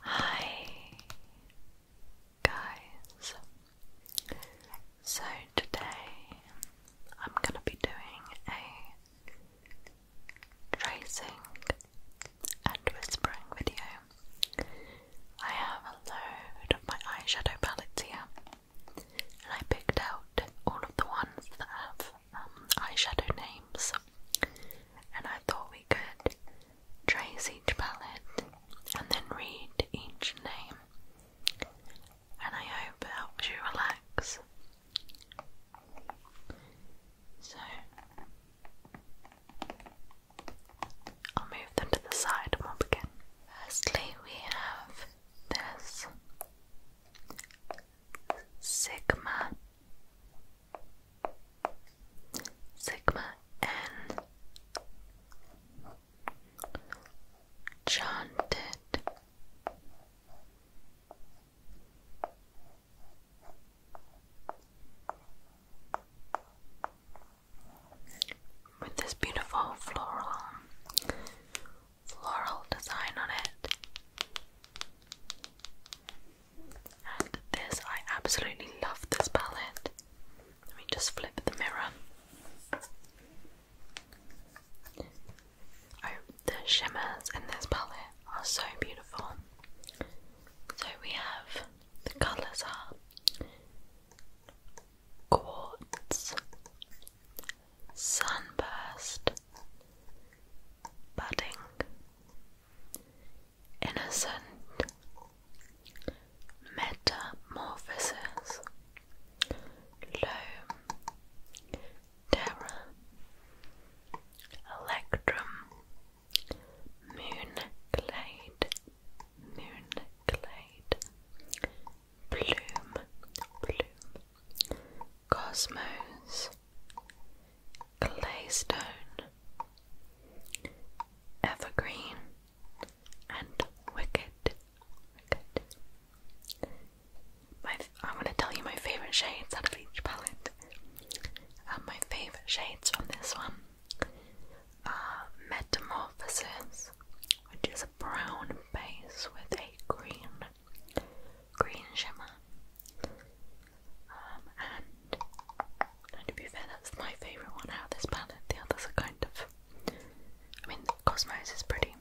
Hi guys. So today I'm going to be doing a tracing and whispering video. I have a load of my eyeshadow palettes here and I picked out all of the ones that have um, eyeshadow names and I thought we could Trace each palette and then read each name. And I hope it helps you relax. So I'll move them to the side and we'll begin. Firstly, we have this Sigma Sigma N Chanted with this beautiful floral floral design on it. And this, I absolutely love this palette. Let me just flip the mirror. Oh, the shimmers in this palette are so beautiful. So we have the colours are quartz, sunburst, budding, innocent metamorphosis loam terra electrum moonclade moonclade bloom bloom cosmos claystone, evergreen, and wicked. My, I'm going to tell you my favourite shades out of each palette. And um, my favourite shades from this one are Metamorphosis, which is a brown base with a green green shimmer, um, and, to be fair, that's my favourite one out of this palette. The others are kind of. I mean, Cosmos is pretty.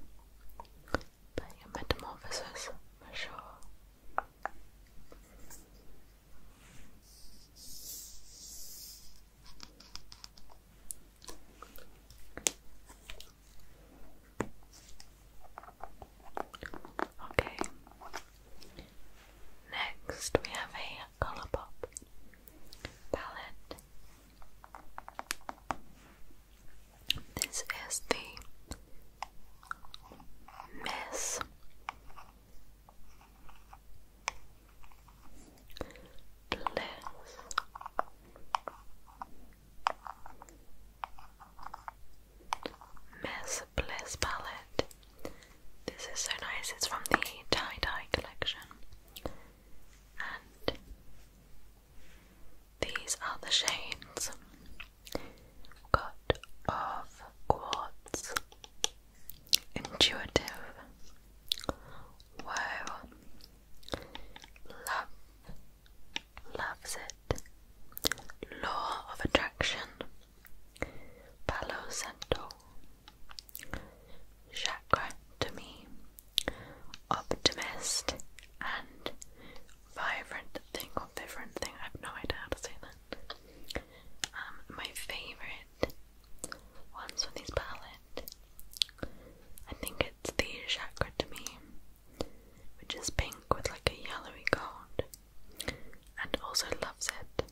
But Metamorphosis, for sure. Okay, Next, we have a Colour Pop palette. This is the Miss. Bliss. Miss Bliss palette this is so nice, it's from the tie dye collection. And these are the shades got of quartz, intuitive, wow, love, loves it, law of attraction. Palosanto, Santo to me optimist and vibrant thing or different thing. I have no idea how to say that. Um, my favorite ones from this palette, I think it's the Chakra to me, which is pink with like a yellowy gold and also loves it.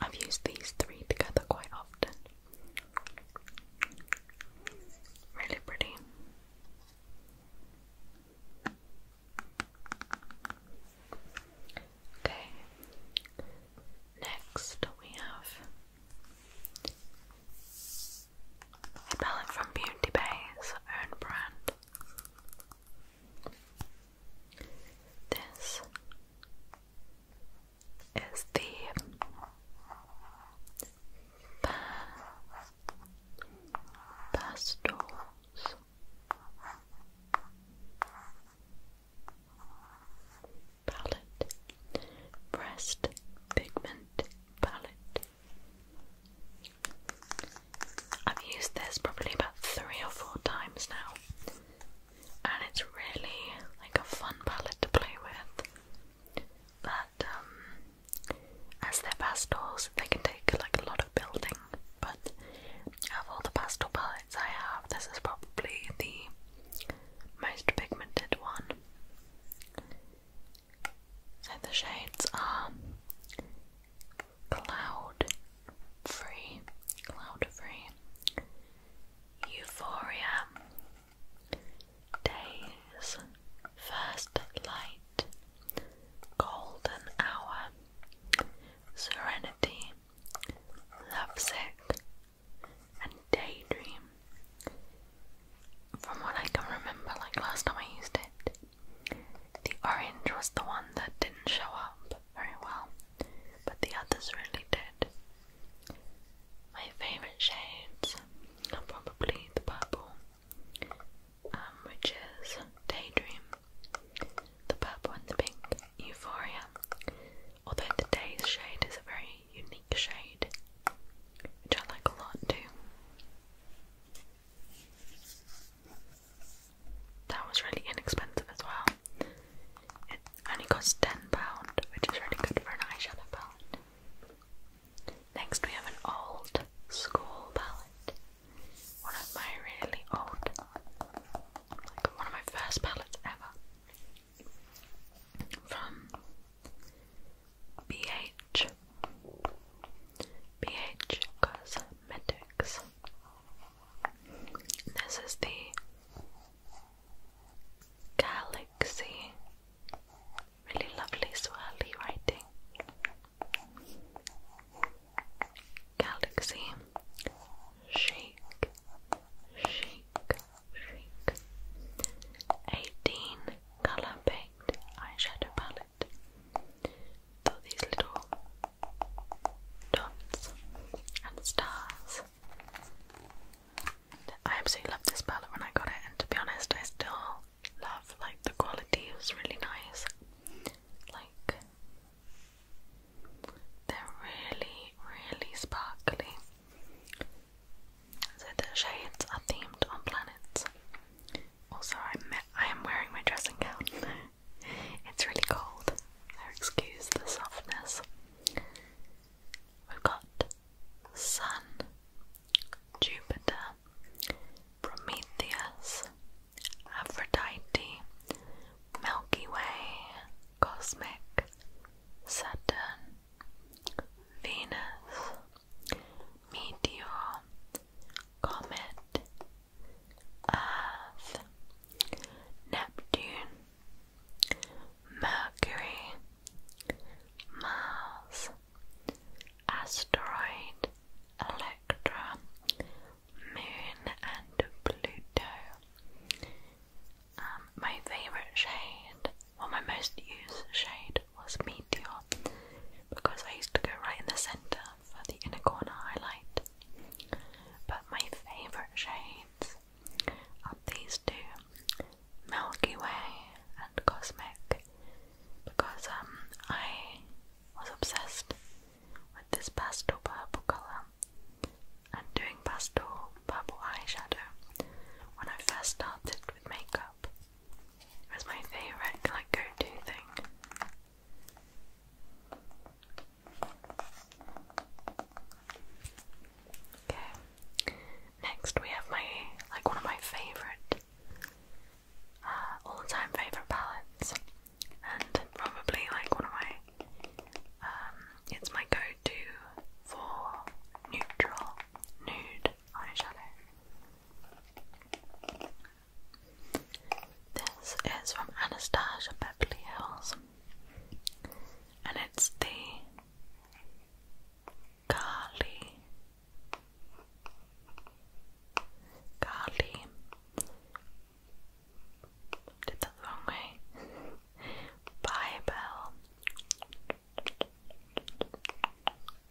I've used these three together quite often. Really pretty. Okay, next we have a palette from Beauty Bay's own brand. This is the pastels. Palette, breast pigment palette. I've used this probably about three or four times now and it's really like a fun palette to play with. That um, as they pastels, they can take like a lot of building. But of all the pastel palettes I have, this is probably the most pigmented one. So the shades are Cloud Free, Cloud Free, Euphoria, Days, First Light, Golden Hour, Serenity, Lovesick, and Daydream. From what I can remember, like last time I used it, the orange was the one that didn't show up very well, but the others really did. My favourite shades are probably the purple, um, which is Daydream, the purple and the pink, Euphoria, although today's shade is a very unique shade, which I like a lot too that was really inexpensive as well. It only costs £10, which is really good for an eyeshadow palette. Next, we have an old school palette. One of my really old, like one of my first palettes ever. From BH. BH Cosmetics. This is the Galaxy. Really lovely swirly writing. Galaxy. Shake. Shake. Shake. 18 color baked eyeshadow palette. So these little dots and stars. I absolutely love this palette when I got it, and to be honest, I still love like the quality. It was really nice. Like they're really, really sparkly. So the shades are themed on planets. Also, I I am wearing my dressing gown. it's really cold, excuse the softness. We've got Sun, Jupiter, Prometheus, Aphrodite, Milky Way, Cosmic, Saturn, Venus, Meteor, Comet, Earth, Neptune, Mercury, Mars, Asteroid, Electra, Moon, and Pluto. Um, my favourite shade, or well, my most used shade, was Meteor because I used to go right in the centre for the inner corner highlight. But my favourite shades of these two, Milky Way and Cosmic, because um I was obsessed with this pastel purple colour and doing pastel purple eyeshadow when I first started with makeup. It was my favourite like go-to thing. Okay. Next we have my like one of my favorite uh, all-time favorite palettes and probably like one of my um, it's my go-to for neutral nude eyeshadow. This is from Anastasia Beverly Hills and it's the Kali Kali Bible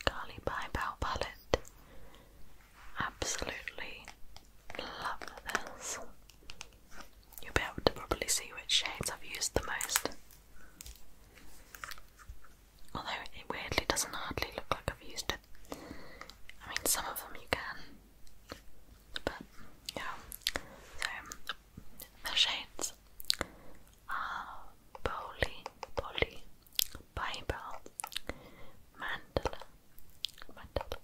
Kali Bible palette absolutely love this You'll be able to probably see which shades I've used the most. Although it weirdly doesn't hardly look like I've used it. I mean, some of them you can. But, yeah. So, the shades are Boli, Boli, Bible, Mandala, Mandala.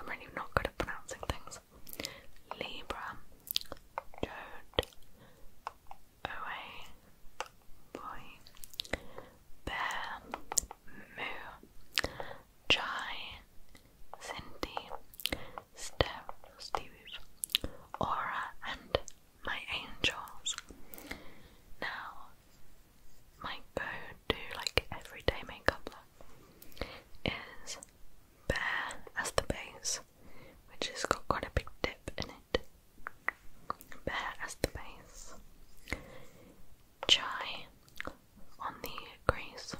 I'm really not good at pronouncing things. Libra, Toad, Away, Boy, Bear, Moo, Chai, Cindy, Steph, Steve, Aura, and my angels. Now, my go to like everyday makeup look is bare as the base, which has got quite a big dip in it. Bare as the base. Chai on the crease.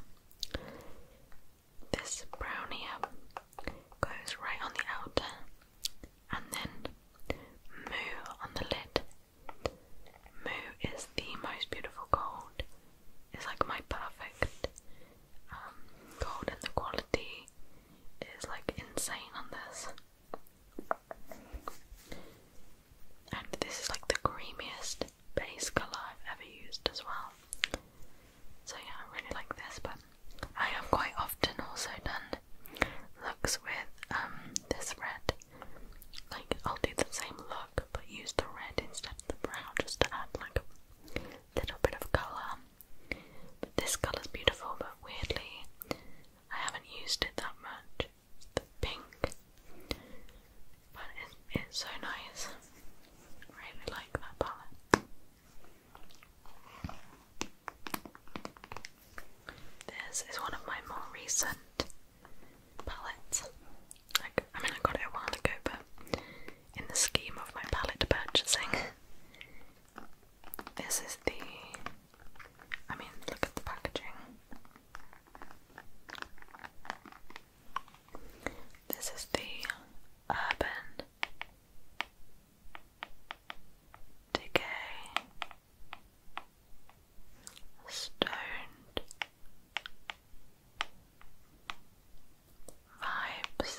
This brown goes right on the outer and then moo on the lid. Moo is the most beautiful gold it's like my perfect um, gold, and the quality is like insane on this. And this is like the creamiest base colour I've ever used as well. So yeah, I really like this, but I have quite often also done looks with um, this red. Like I'll do the same look but use the red instead of the brown just to add like a little bit of colour. But this colour's beautiful, but weirdly, I haven't used it that much. the pink, but it's, so nice. really like that palette. This is one of my more recent palettes. Like, I mean, I got it a while ago, but in the scheme of my palette purchasing, this is the. I mean, look at the packaging. This is the Urban Decay Stoned Vibes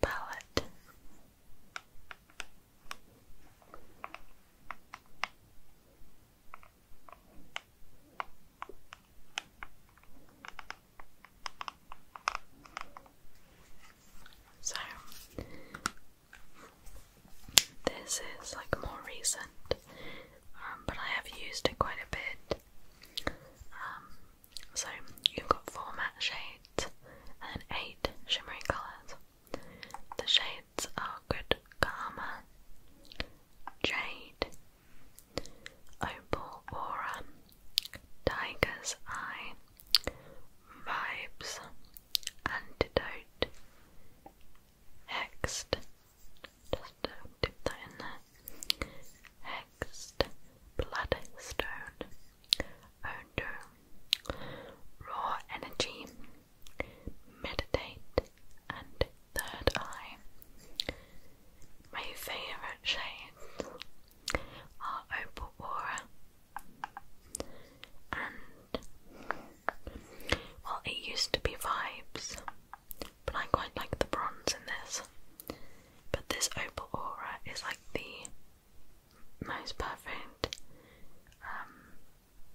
palette. So this is like more recent um, but I have used it quite a bit. Um, so you've got four matte shades and eight shimmery colours. The shades are Good Karma, Jade, Opal Aura, Tiger's Eye, Vibes, Antidote, Hexed, just uh, dip that in there. Hexed, bloodstone, odor, raw energy, meditate, and third eye. My favorite shades are opal aura and well, it used to be vibes but I quite like the bronze in this. But this opal aura is like the most perfect um,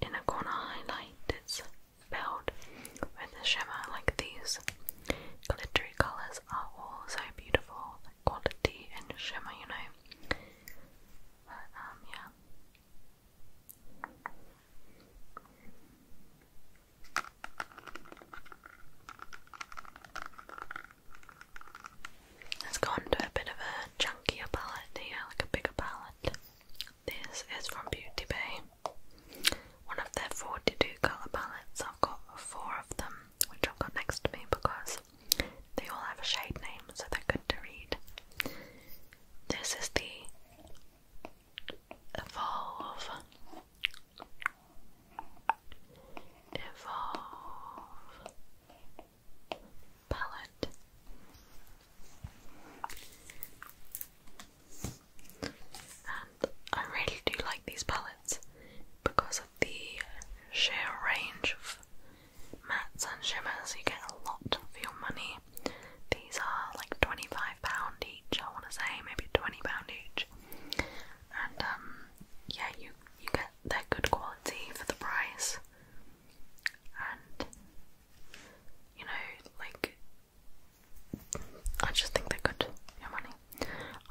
inner corner highlight. It's filled with the shimmer like these. Glittery colours are all so beautiful, quality and shimmer, you know. But um, yeah. Let's go on a bit of a chunkier palette here, like a bigger palette. This is from Beauty Bay, one of their 42 colour palettes. I've got four of them, which I've got next to me because they all have a shade name, so they're good to read. This is the evolve, evolve palette. And I really do like these palettes because of the sheer range of mattes and shimmers. You get a lot for your money. These are like £25 each, I want to say, maybe £20 each and um, yeah, you you get they're good quality for the price, and you know, like I just think they're good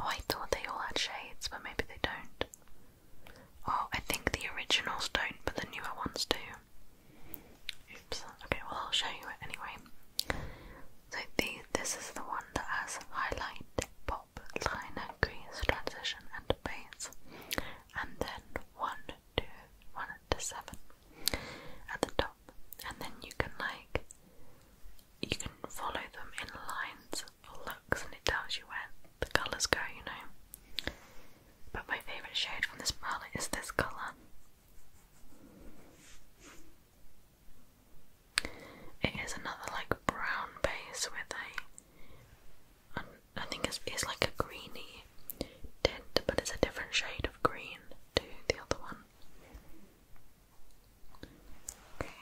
Oh, I thought they all had shades, but maybe they don't. Oh, I think the originals don't, but the newer ones do. Oops. Okay, well I'll show you it anyway. So the, this is the one that has highlight, pop, liner, crease, transition, and base, and then one to seven at the top, and then you can like you can follow them in lines or looks, and it tells you where the colours go, you know. But my favourite shade from this palette is this colour. It is another like brown base with a, I think it's, it's like a greeny tint, but it's a different shade of green to the other one. Okay.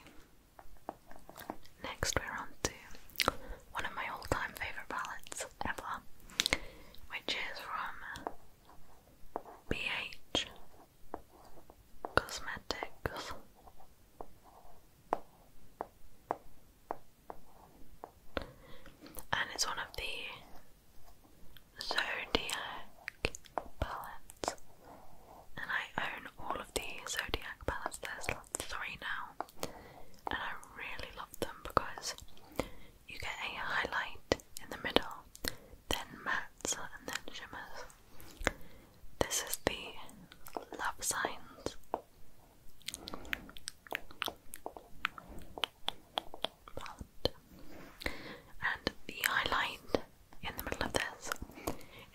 Next, we're on to one of my all-time favorite palettes ever, which is from BH cosmetics. And it's one of the Zodiac palettes. And I own all of the Zodiac palettes. There's three now. And I really love them because you get a highlight in the middle, then mattes, and then shimmers. This is the love signs. and the highlight in the middle of this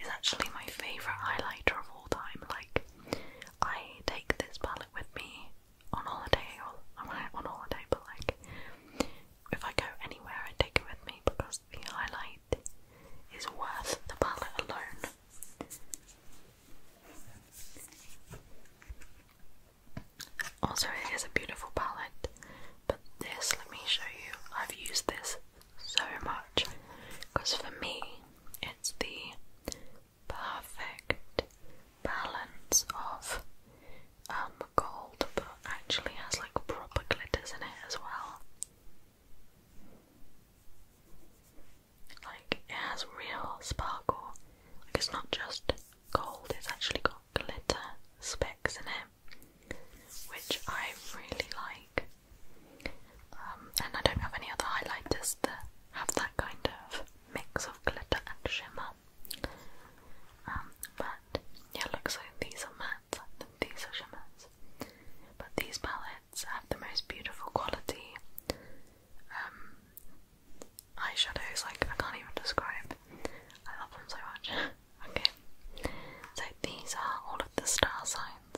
is actually my favourite highlighter of all time. Like, I take this palette with me on holiday, or on holiday, but like, if I go anywhere, I take it with me because the highlight is worth the palette alone. Also, it is a beautiful palette, but this, let me show you, I've used this so much because for me, it's the perfect balance of um, gold, but actually has like proper glitters in it as well. Like it has real sparkle. Like it's not just gold, it's actually got glitter specks in it, which I really like. Um, and I don't have any other highlighters that have that kind of mix of glitter and shimmer. Um, but yeah, looks like these are matte these are shimmers. But these palettes have the most beautiful quality um, eyeshadows, like I can't even describe. I love them so much. okay, so these are all of the star signs.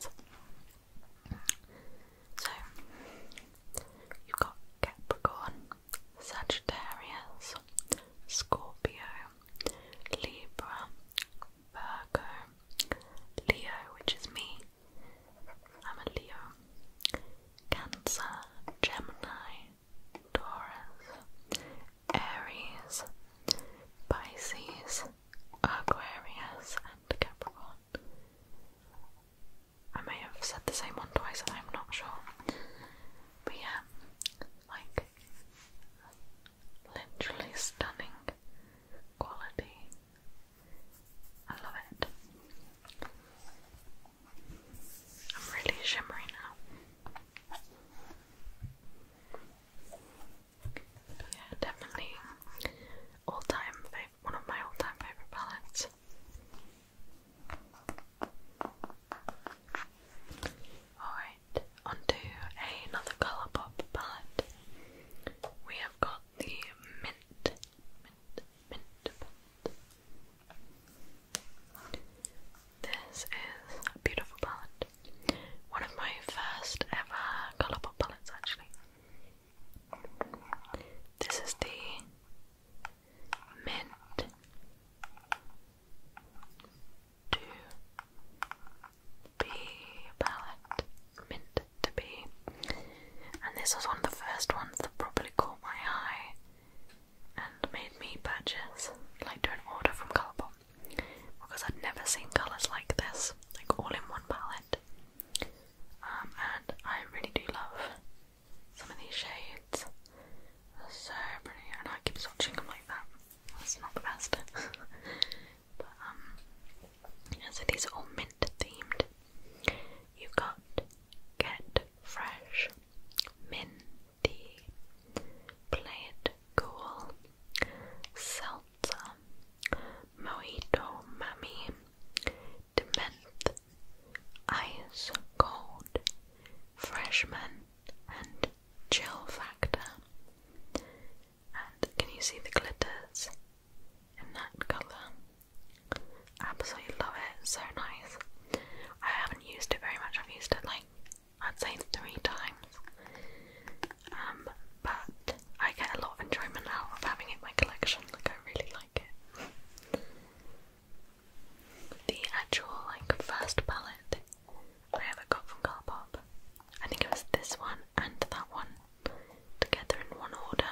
So you've got Capricorn, Sagittarius, Scorpio, Libra, Virgo, Leo, which is me. I'm a Leo. Cancer, Gemini, Taurus, Aries, Pisces, Aquarius, and Capricorn. I may have said the same one twice, I'm not sure. But yeah, like Literally stunning quality. I love it. I'm really shimmery now. Yeah, definitely all-time favorite, one of my all-time favorite palettes. Oh, onto another colour palette. We have got the mint, mint, mint palette. This is a beautiful palette. One of my first ever colour palettes, actually. This is the mint to be palette, mint to be, and this was one of the first ones that probably caught my eye and made me purchase, like do an order from Colourpop, because I'd never seen colours like this, like all in one palette. Um, and I really do love some of these shades. so pretty, and I keep switching them like that that's not the best. but um, yeah, so these are all mint themed. You've got Get Fresh, Minty, Play It Cool, Seltzer, Mojito Mammy, Dement, Ice Cold, Freshman, and chill factor. And can you see the glitters in that colour? Absolutely love it, so nice. I haven't used it very much, I've used it like I'd say three times. Um, but I get a lot of enjoyment out of having it in my collection, like I really like it. The actual like first palette I ever got from Car I think it was this one and that one together in one order.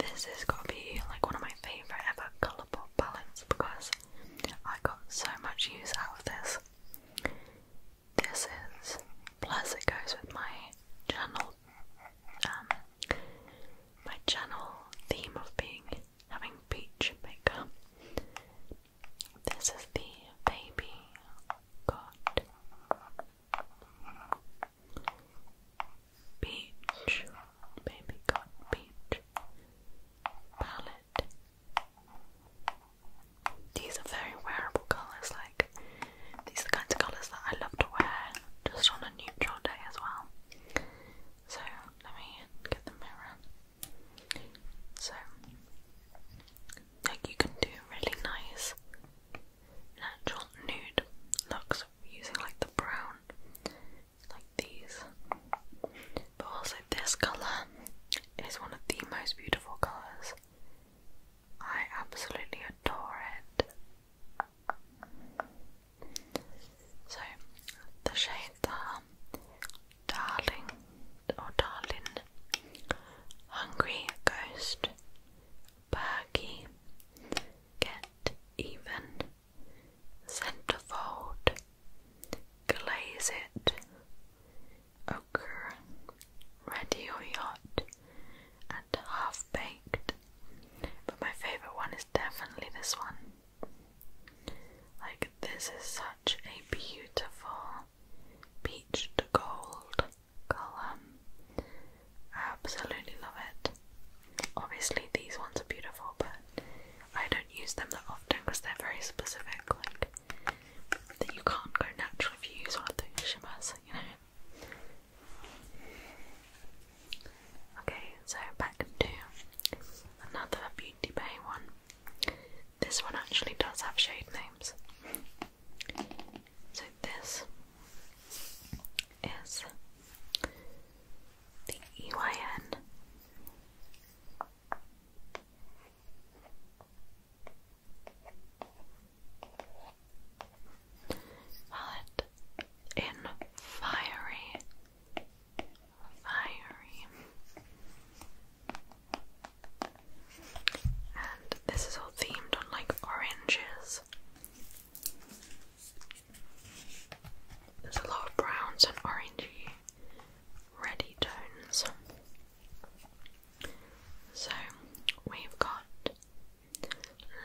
this has got to be like one of my favourite ever Colourpop palettes because I got so much use out of this. This is plus it goes with my channel um my channel theme of being having peach makeup. This is the baby cot. Peach, baby cot, peach palette. These are very wearable colours, like these are the kinds of colours that I love to wear just on a neutral day as well. So let me get the mirror. So, like you can do really nice natural nude looks using like the brown, like these. But also, this colour is one of the most beautiful colours. I absolutely adore it. So, the shades are Darling or Darlin, Hungry Ghost, Bergie, Get Even, Centerfold, Glaze It, Ochre, or Yacht, and Half Baked. But my favourite one is definitely this one. Like, this is such a beautiful peach to gold colour. absolutely love it. Obviously, these ones are beautiful, but I don't use them that often because they're very specific. Like, that you can't go natural if you use one of those shimmers, you know. Okay, so back to another Beauty Bay one. This one actually does have shade names. So this is the EYN palette in fiery, fiery. And this is all themed on like oranges. There's a lot of browns and orangey, reddy tones. So we've got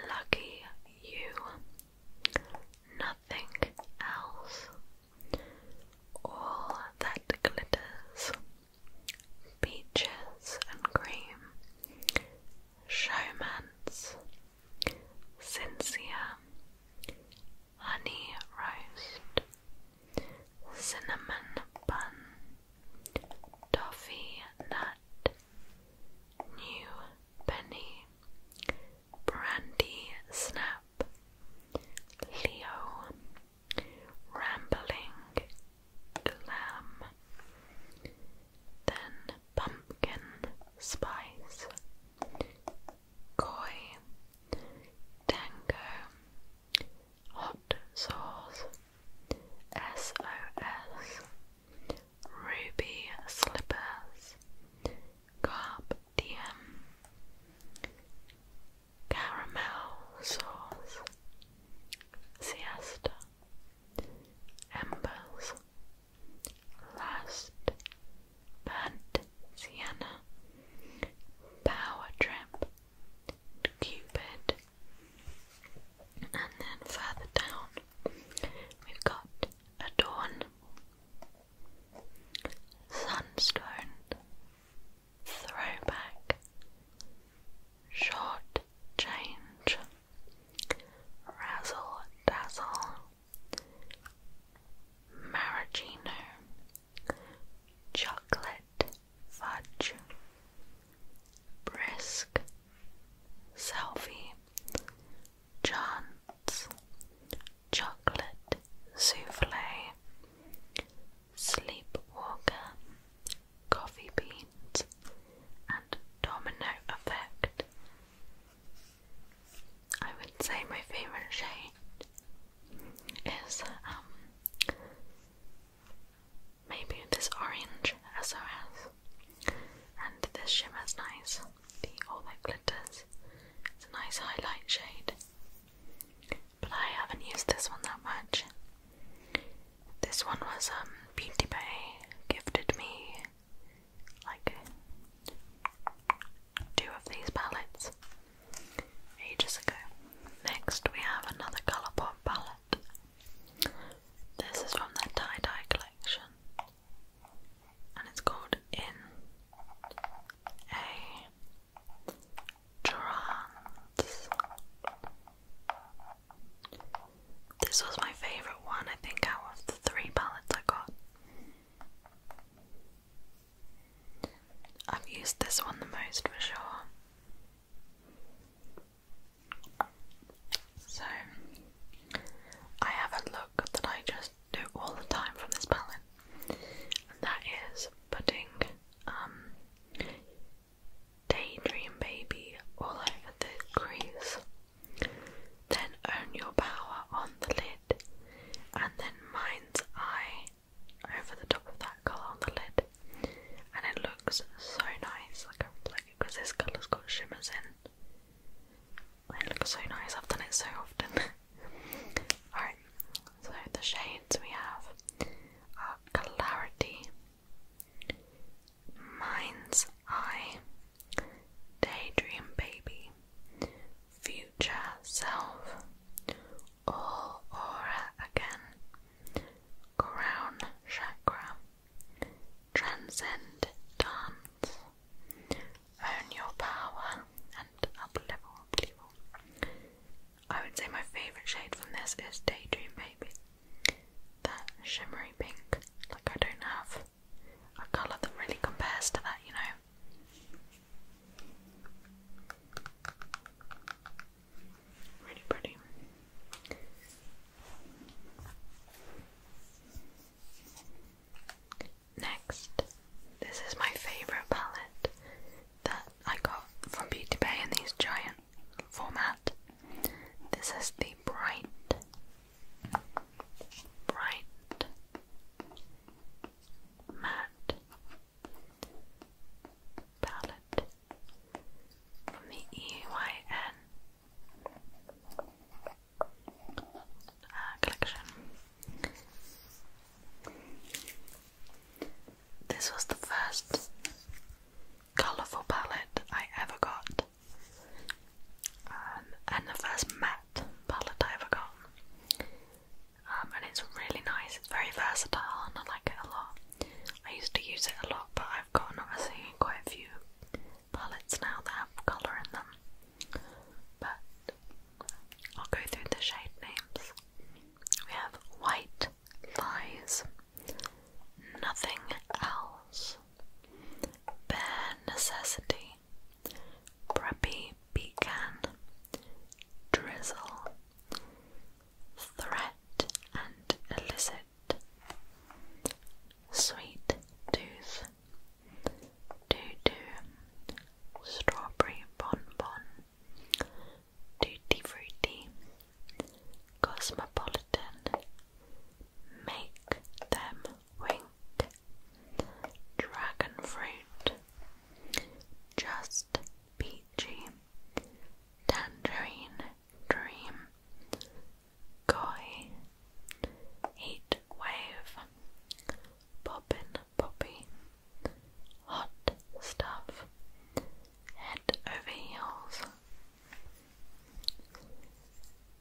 Lucky You, Nothing Else, all that glitters, peaches and cream, showman's, sincere, honey roast, cinnamon bun, toffee nut, new penny, brandy snap. Leo rambling glam, then pumpkin spice, koi, tango, hot sauce, SOS, ruby slippers, carp diem caramel sauce, siesta, embers, lust, burnt sienna, power trip, cupid, and then further down we've got adorn, sunstone, throwback, short change, razzle dazzle, maraschino, chocolate fudge, brisk, selfie, chance, chocolate souffle, Sleepwalker, Coffee Beans, and Domino Effect. I would say my favourite shade is um, maybe this orange SRS, and this shimmer is nice. The all that glitters. It's a nice highlight shade but I haven't used this one that much. This one was um Beauty Bay gifted me like two of these palettes ages ago. Next we have another Colourpop palette. This is from their tie-dye collection. And it's called In A this was my favourite one, I think, out of the three palettes I got. I've used this one the most for sure. So, I have a look that I just do all the time from this palette, and that is putting um, Daydream, baby, all over the crease. Then own your power on the lid, and then mind's eye over the top of that colour on the lid. And it looks so nice, like I because this colour's got shimmers in. It looks so nice, I've done it so often. Alright, so the shades we have are Clarity, Mind's Eye, Daydream Baby, Future Self, All Aura Again, Crown Chakra, Transcend Dance, Own Your Power and Uplevel I would say my favourite shade from this is Daydream Baby. That shimmery pink. Like I don't have a colour that really compares to that, you know. Really pretty. Next, this is my favourite palette that I got from Beauty Bay in these giant format. This is the bright, bright, matte palette from the EYN uh, collection. This was the first colourful palette I ever got, um, and the first matte palette I ever got. Um, and it's really nice, it's very versatile, and I like it a lot. I used to use it a lot, but I've gotten obviously quite a few palettes now that have colour in them. But I'll go through the shade names we have white lies, nothing else, bare necessity, preppy pecan, drizzle, threat and illicit, sweet tooth, doo doo, strawberry bonbon, Tutti Frutti, Cosmopolitan, Make Them Wink, Dragon Fruit, Just Peachy, Tangerine Dream, Koi, Heat Wave, Bobbin Poppy, Hot Stuff, head over heels.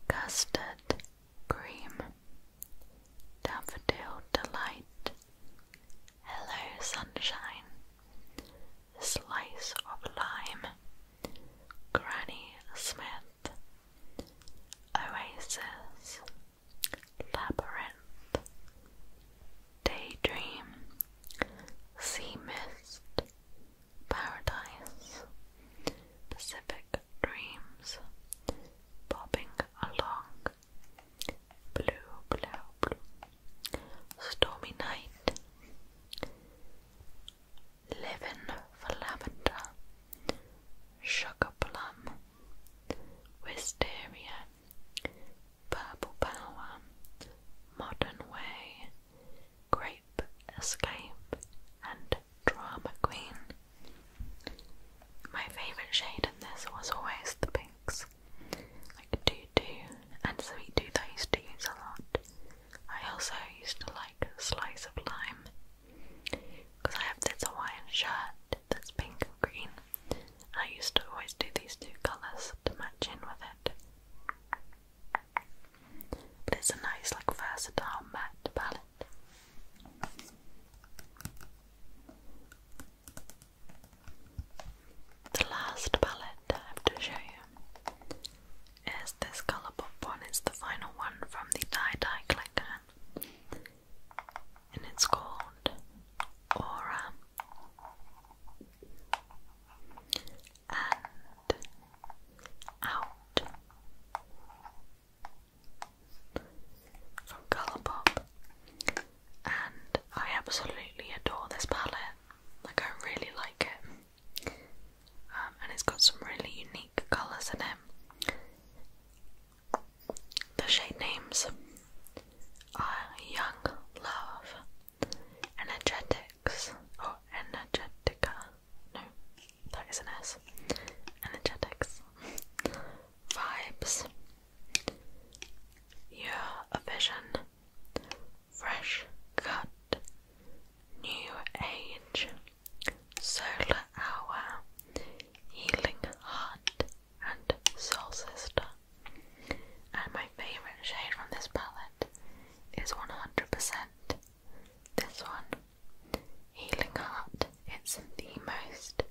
Custard cream, daffodil delight, hello sunshine, slice of lime, Granny Smith, Oasis, Labyrinth, Daydream, Sea Mist, Paradise, Pacific Dreams, Bobbing Along, Blue, Blue, Blue, Stormy Night, Living for Lavender, Sugar Plum, Wisteria, Purple Power, Modern Way, Grape Escape, and Drama Queen. My favourite shade in this was always the pinks, like Tutu and Sweet Tooth I used to use a lot. I also used to like Slice of Lime, because I have this Hawaiian shirt that's pink and green. I used to always do these two colours to match in with it. But it's a nice, like, versatile matte palette. The last palette I have to show you is this Colourpop one. It's the final one from the Dye Dye collection, and it's called Aura and out from Colourpop, and I absolutely adore this palette. Like I really like it, um, and it's got some really unique colours in it. The shade names are Young Love, energetics or oh, energetica. No, that is an S. Energetics. Vibes. Your vision. Fresh cut. New age. Solar hour. Healing heart and soul sister. And my favorite shade from this palette is 100%. This one, Healing Heart. It's the most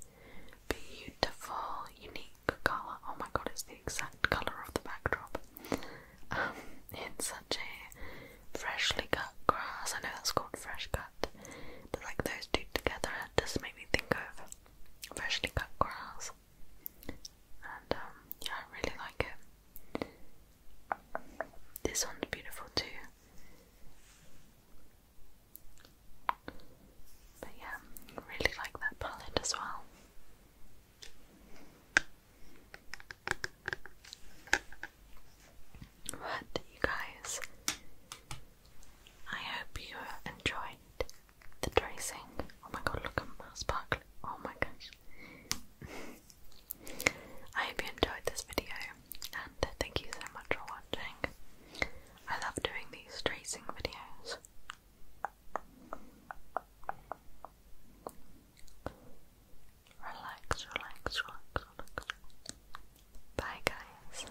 beautiful, unique color. Oh my god, it's the exact color of the backdrop. Um, it's such a freshly cut grass. I know that's called fresh cut, but like those two together just make me think of freshly cut grass and um, yeah, I really like it. This one's beautiful too. But yeah, really like that palette as well. But you guys, I hope you enjoyed the tracing. Oh my god, look at that sparkle. Oh my gosh. I hope you enjoyed this video and thank you so much for watching. I love doing these tracing videos. Relax, relax, relax, relax. Bye, guys.